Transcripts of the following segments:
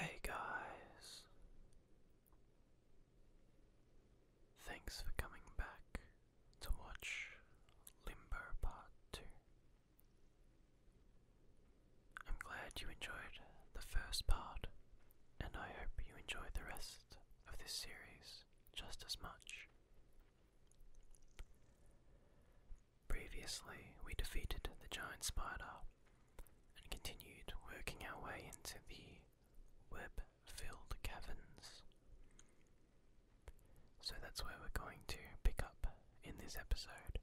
Hey guys, thanks for coming back to watch Limber Part 2. I'm glad you enjoyed the first part, and I hope you enjoyed the rest of this series just as much. Previously, we defeated the giant spider and continued working our way into the web filled caverns. So that's where we're going to pick up in this episode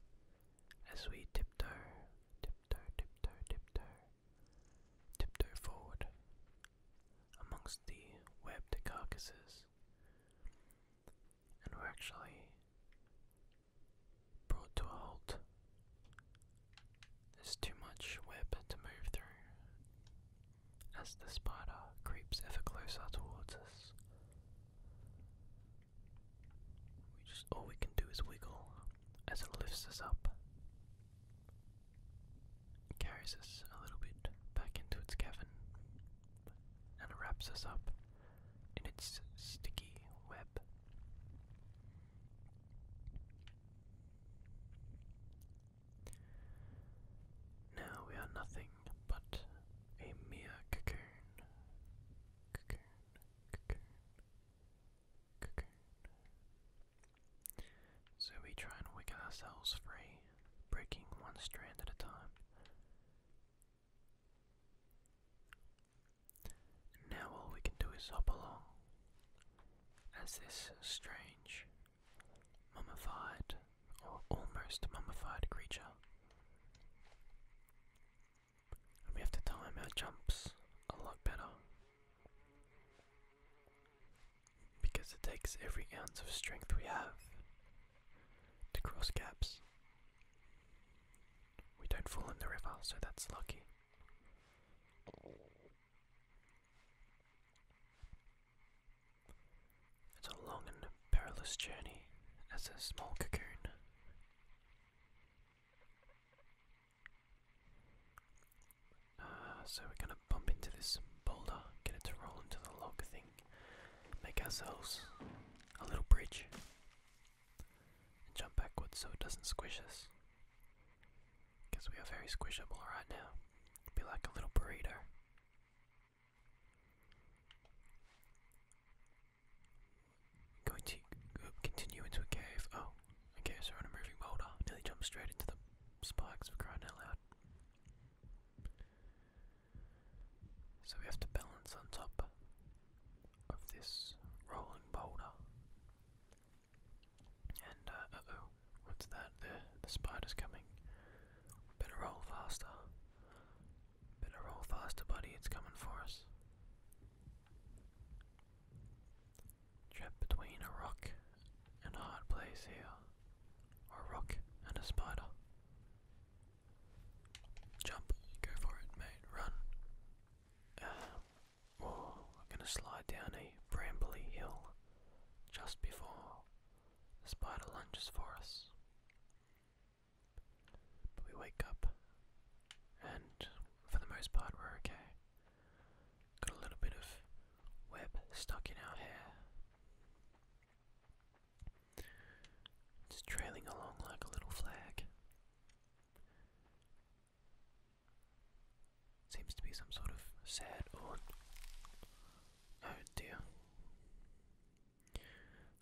as we tiptoe tiptoe, tiptoe, tiptoe, tiptoe forward amongst the webbed carcasses. And we're actually brought to halt. There's too much web to move through as the spider creeps ever closer towards us. We all we can do is wiggle as it lifts us up. carries us a little bit back into its cavern and wraps us up in its sticky web. Now we are nothing but a mere Cocoon, so we try and wiggle ourselves free, breaking one strand at a time. Now all we can do is hop along as this strange, mummified, or almost mummified creature we have to time our jumps a lot better. Because it takes every ounce of strength we have to cross gaps. We don't fall in the river, so that's lucky. It's a long and perilous journey as a small cocoon. Ah, so we're going to bump into this boulder, get it to roll into the log thing, make ourselves a little bridge, and jump backwards so it doesn't squish us. Because we are very squishable right now. Be like a little burrito. Going to uh, continue into a cave. Oh, okay, so on a moving boulder. Nearly jumped straight into the spikes for crying out loud. So we have to balance on top of this rolling boulder. And oh, what's that? the spider's coming. Better roll faster. Better roll faster, buddy. It's coming for us. Trapped between a rock and a hard place here. Or a rock and a spider. Jump. Go for it, mate. Run. oh, we're gonna slide down a brambly hill just before the spider lunges for us we wake up, and for the most part, we're okay. Got a little bit of web stuck in our hair. It's trailing along like a little flag. Seems to be some sort of sad or. Oh dear.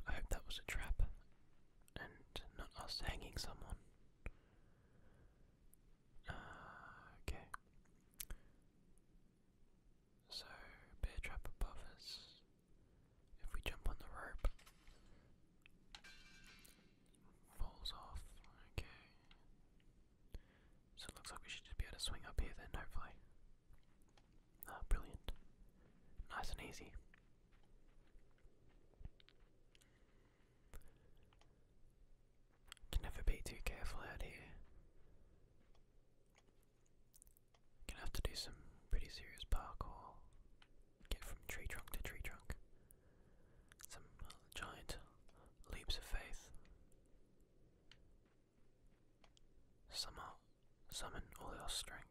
I hope that was a trap and not us hanging someone. Ah, okay. So, bear trap above us. If we jump on the rope, falls off. Okay. So looks like we should just be able to swing up here then, hopefully. Ah, brilliant. Nice and easy. Can never be too careful out here. Gonna have to do some pretty serious parkour. Get from tree trunk to tree trunk. Some uh, giant leaps of faith. Summer, summon all our strength.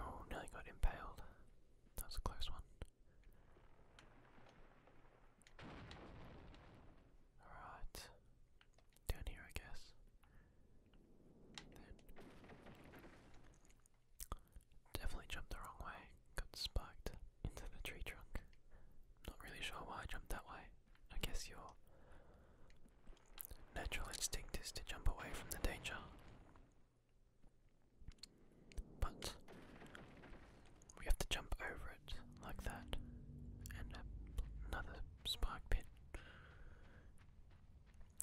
Oh, nearly got impaled. That was a close one. Alright. Down here, I guess. Definitely jumped the wrong way. Got spiked into the tree trunk. Not really sure why I jumped that way. I guess your natural instinct is to jump away from the danger. But we have to jump over it like that, and another spark pit.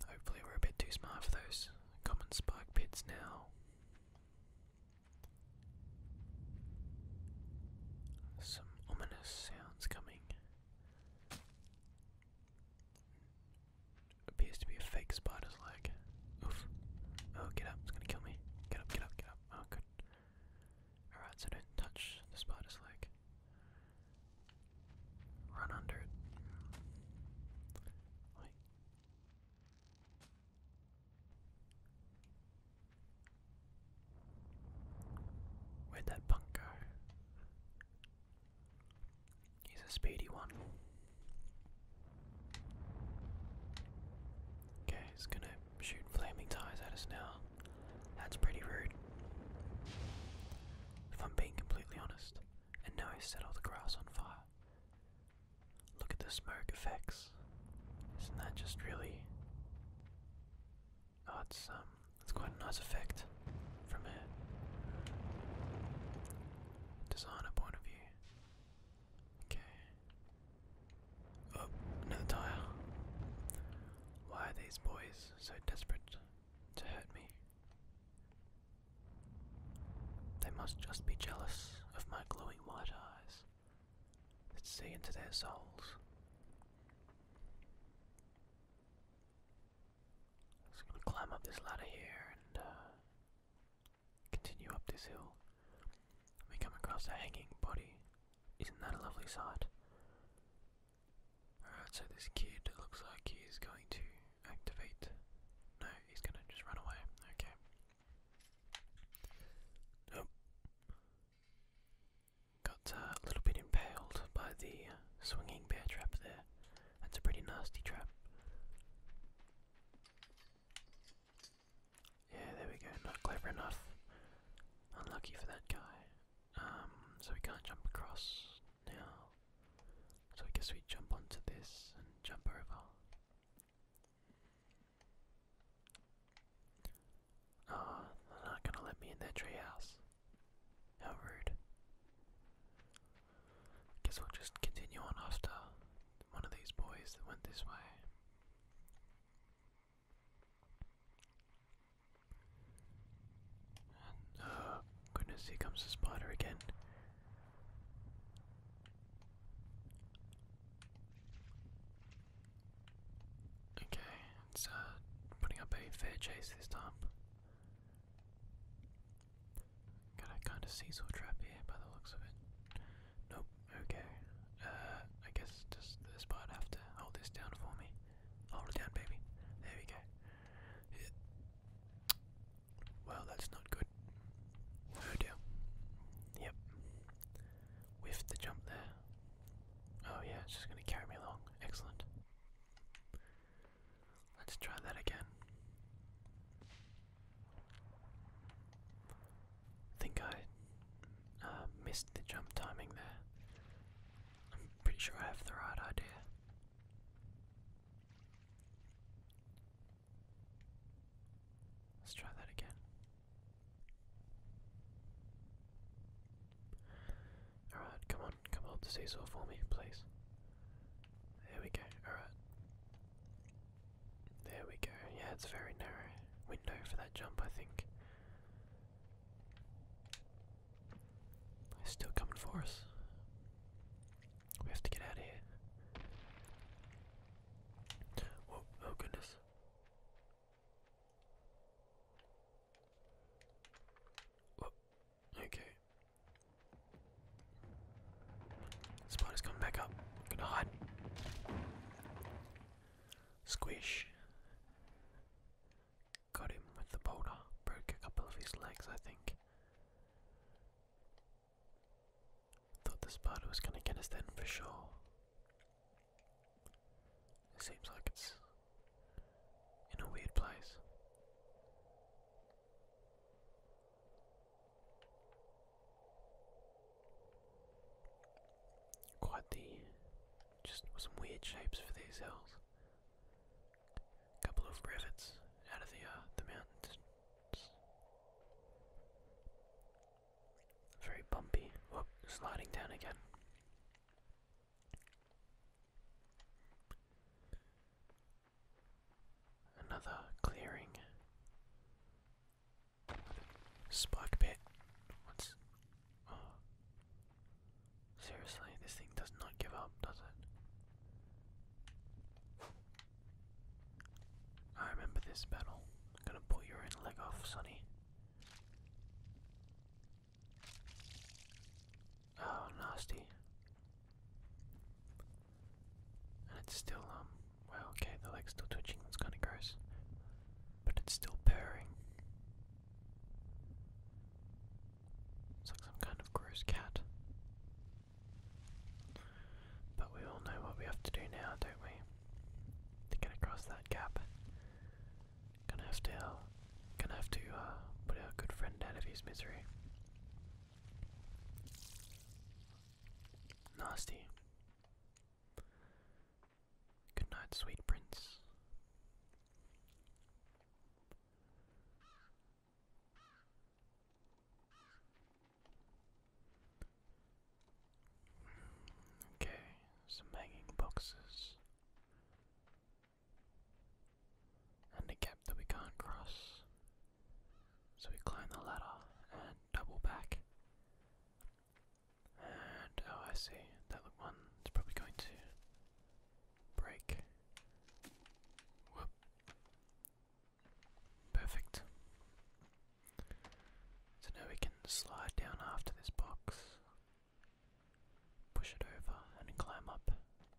Hopefully, we're a bit too smart for those common spark pits now. Some ominous sounds coming. Appears to be a fake spider's leg. Oof. Oh, get up. It's gonna kill me. Get up, get up, get up. Oh, good. Alright, so don't touch the spider's leg. Run under it. Where'd that punk go? He's a speedy one. Okay, he's gonna shoot flaming tires at us now. That's pretty rude. If I'm being completely honest, and now he's set all the grass on fire. Look at the smoke effects. Isn't that just really? Oh, it's um, it's quite a nice effect from a designer point of view. Okay. Oh, another tire. Why are these boys so desperate to hurt me? They must just be jealous of my glowing white eyes. Let's see into their souls. Just gonna climb up this ladder here and uh, continue up this hill. We come across a hanging body. Isn't that a lovely sight? Alright, so this kid looks like he is going to activate. No, he's gonna just run away. Okay. Got uh, a little bit impaled by the uh, swinging bear trap there. That's a pretty nasty trap. Yeah, there we go. Not clever enough. Unlucky for that guy. Um, so we can't jump across now. So I guess we jump onto this and jump over. Uh, they're not gonna let me in that treehouse. How rude. Guess we'll just continue on after one of these boys that went this way. Uh, goodness, here comes the spider again. Okay, it's uh, putting up a fair chase this time. Got a kind of seesaw trap here by the looks of it. Nope, okay. Uh, I guess does the spider have to hold this down for me? Hold it down, baby. There we go. Well, that's not good. Oh Yep. Whiffed the jump there. Oh yeah, it's just going to carry me along. Excellent. Let's try that again. Think I uh, missed the jump timing there. I'm pretty sure I have the right idea. Let's try that again. Alright, come on, come hold the seesaw for me, please. There we go, alright. There we go, yeah, it's very narrow window for that jump, I think. It's still coming for us. We have to get out of here. Oh, oh, goodness. Oh, okay. Spider's coming back up. gonna hide. Squish. Got him with the boulder. Broke a couple of his legs, I think. Thought this spider was gonna get us then for sure. seems like it's in a weird place. Quite the just some weird shapes for these hills. A couple of rivets out of the uh, the mountains. Very bumpy. Whoop, sliding down again. Another clearing. Spark pit. What's. Oh. Seriously, this thing does not give up, does it? I remember this battle. I'm gonna pull your leg off, Sonny. Oh, nasty. And it's still, um, well, okay, the leg's still twitching, that's kinda gross. But it's still purring. It's like some kind of gross cat. But we all know what we have to do now, don't we? to get across that gap. Gonna have to, gonna have to uh, put a good friend out of his misery. Nasty. Good night, sweet prince. Okay, some hanging boxes. And a gap that we can't cross. So we climb the ladder and double back. And oh, I see. That one is probably going to break. Whoop. Perfect. So now we can slide down after this box, push it over, and climb up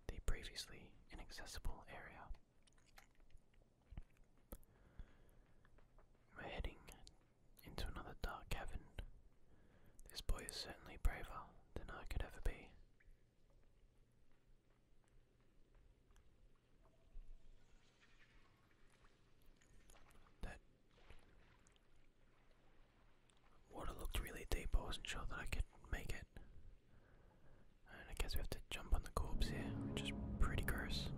the previously inaccessible area. We're heading into another dark cavern. This boy is certainly braver than I could ever be. That water looked really deep. I was sure that I could make it. And I guess we have to jump on the corpse here, which is pretty gross.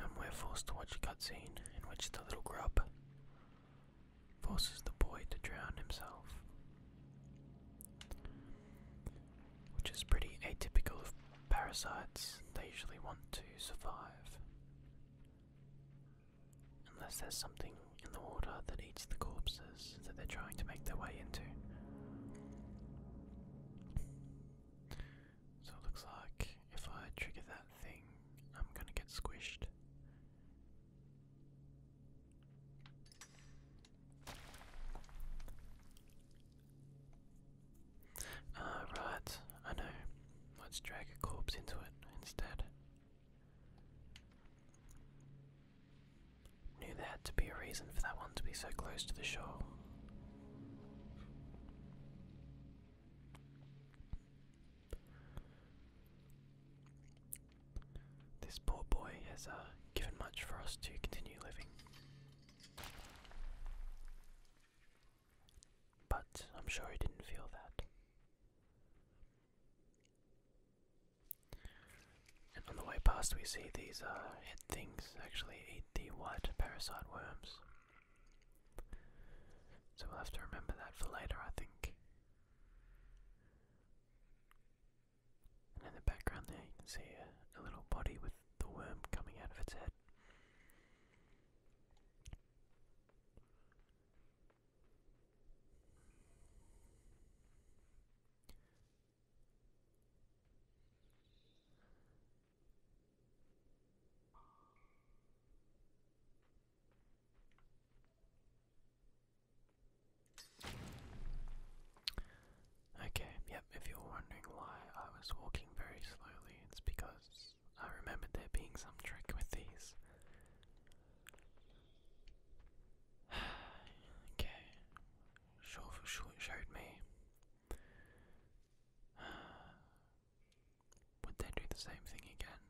And we're forced to watch a cutscene in which the little grub forces the boy to drown himself which is pretty atypical of parasites. They usually want to survive. Unless there's something in the water that eats the corpses that they're trying to make their way into. So it looks like if I trigger that thing, I'm gonna get squished. Ah, right, I know. Let's drag a corpse into it instead. Knew there had to be a reason for that one to be so close to the shore. This poor boy has uh, given much for us to continue living. But I'm sure he didn't feel that. And on the way past, we see these head uh, things actually eat the white parasite worms. So we'll have to remember that for later, I think. And in the background there you can see a, a little body with the worm coming out of its head. Okay, yep, if you're wondering why I was walking very slowly, it's because I remembered there being some trick with these. okay, sure for sure it showed me. Would they do the same thing again?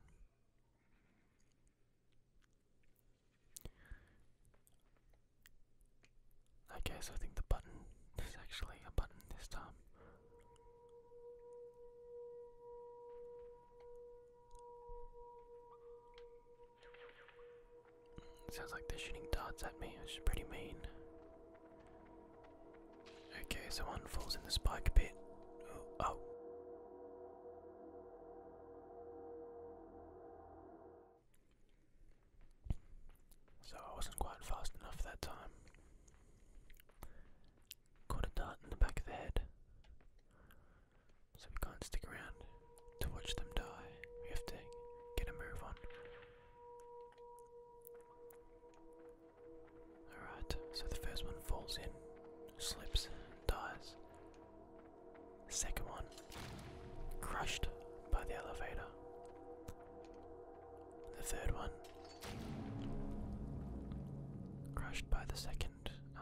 Okay, so I think the button is actually a button this time. Sounds like they're shooting darts at me, which is pretty mean. Okay, so one falls in the spike pit. Oh. So I wasn't quite fast enough that time. Caught a dart in the back of the head. So we can't stick around to watch them die. We have to get a move on. Alright, so the first one falls in, slips, dies. Second one, crushed by the elevator. The third one, crushed by the second. Uh,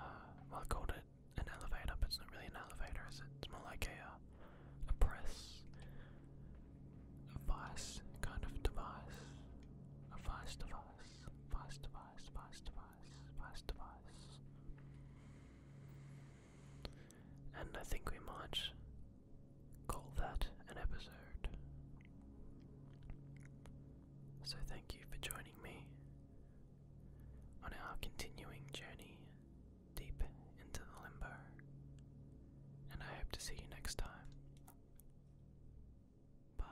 well, I called it an elevator, but it's not really an elevator, is it? It's more like a, uh, a press, a vice kind of device, a vice device, vice device, vice device, vice device. And I think we might call that an episode. So thank you for joining me on our continuing journey deep into the limbo. And I hope to see you next time. Bye.